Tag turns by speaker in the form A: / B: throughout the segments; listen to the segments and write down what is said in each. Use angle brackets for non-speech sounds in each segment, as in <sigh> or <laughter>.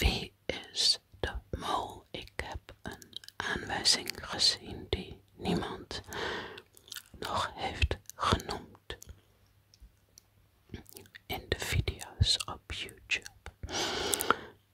A: Wie is de mol? Ik heb een aanwijzing gezien die niemand nog heeft genoemd in de video's op YouTube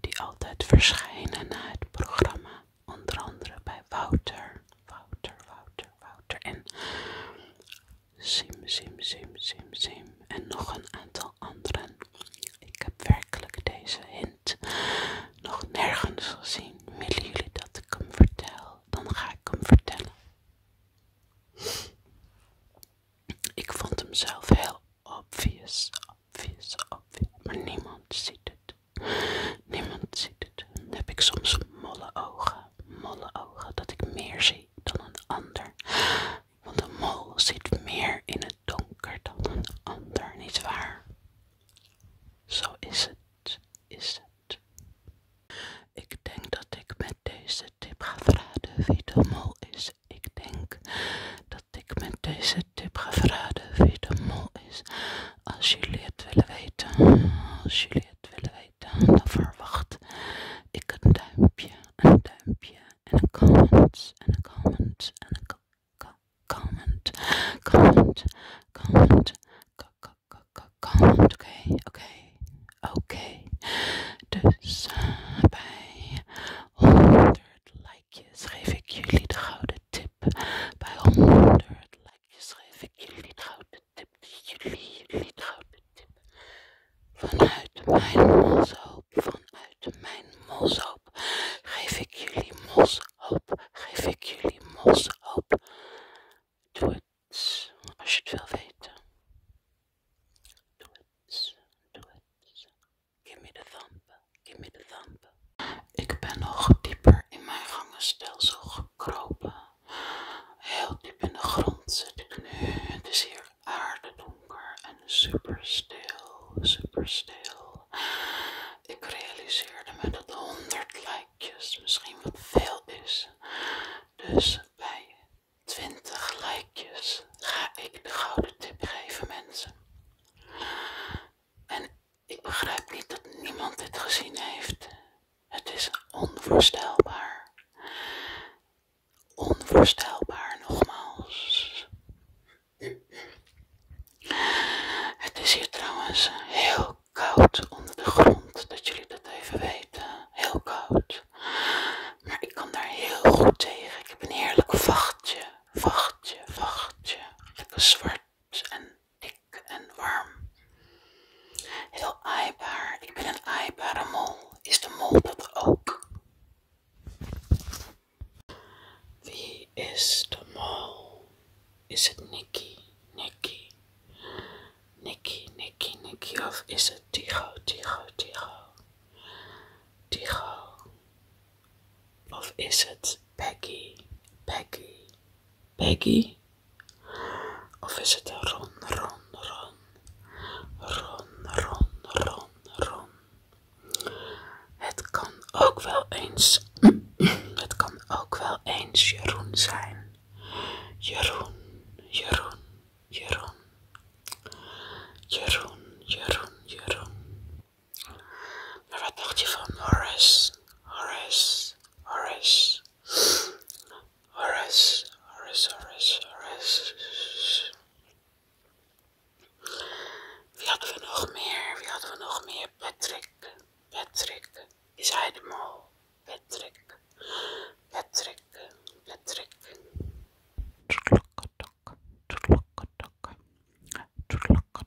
A: die altijd verschijnen na het programma, onder andere bij Wouter, Wouter, Wouter, Wouter en Sim, Sim, Sim, Sim, Sim en nog een aantal anderen. Ik heb werkelijk deze hint nog nergens gezien. Willen jullie dat ik hem vertel? Dan ga ik hem vertellen. Ik vond hem zelf heel obvious, obvious, obvious, maar niemand ziet het. Niemand ziet het. Dan heb ik soms molle ogen, molle ogen, dat ik meer zie dan een ander. Want een mol zit meer in het donker dan een ander, nietwaar? Zo is het, is het. Ik denk dat ik met deze tip ga vragen wie de mol is. Ik denk dat ik met deze tip ga vragen wie de mol is. Als jullie het willen weten, als jullie het willen weten dan verwacht ik een duimpje, een duimpje en een comment en een comment en een comment, comment, comment, comment, oké, oké, oké. Dus eh, bij 100 likejes geef ik jullie de gouden tip. Bij 100 like's geef ik jullie de gouden tip jullie niet tip. Vanuit mijn moshoop, vanuit mijn moshoop, geef ik jullie moshoop, geef ik jullie moshoop. Doe het als je het wil weten. Doe het, doe het. Give me the thumb, give me the thumb. Ik ben nog dieper in mijn gangenstelsel gekropen heel diep in de grond zit ik nu. Het is hier donker en super stil, super stil. Ik realiseerde me dat 100 likejes misschien wat veel is. Dus bij 20 likejes ga ik de gouden tip geven, mensen. En ik begrijp niet dat niemand dit gezien heeft. Het is onvoorstelbaar. Onvoorstelbaar nogmaals. Het is hier trouwens heel koud onder de grond, dat jullie dat even weten. Heel koud. Maar ik kan daar heel goed tegen. Ik heb een heerlijk vachtje, vachtje, vachtje. Lekker zwart en dik en warm. Heel aaibaar. Ik ben een aaibare mol. Is de mol dat ook? Wie is de mol? Is het Nikki? Nikki? Nikki? Nikki? Nicky of is het Tigo, Tigo, Tigo? Tigo. Of is het Peggy, Peggy, Peggy? Of is het een rond, rond, rond, rond, rond, rond, rond? Het kan ook wel eens... <clears throat> het kan ook wel eens Jeroen zijn. Jeroen, Jeroen, Jeroen. Jeroen, Jeroen, Jeroen. Maar wat dacht je van Horace? Horace, Horace. Horace, Horace, Horace, Horace. Wie hadden we nog meer? Wie hadden we nog meer? Patrick, Patrick. Is hij de mol? Patrick, Patrick, Patrick. Tlokketok, tlokketok, tlokketok.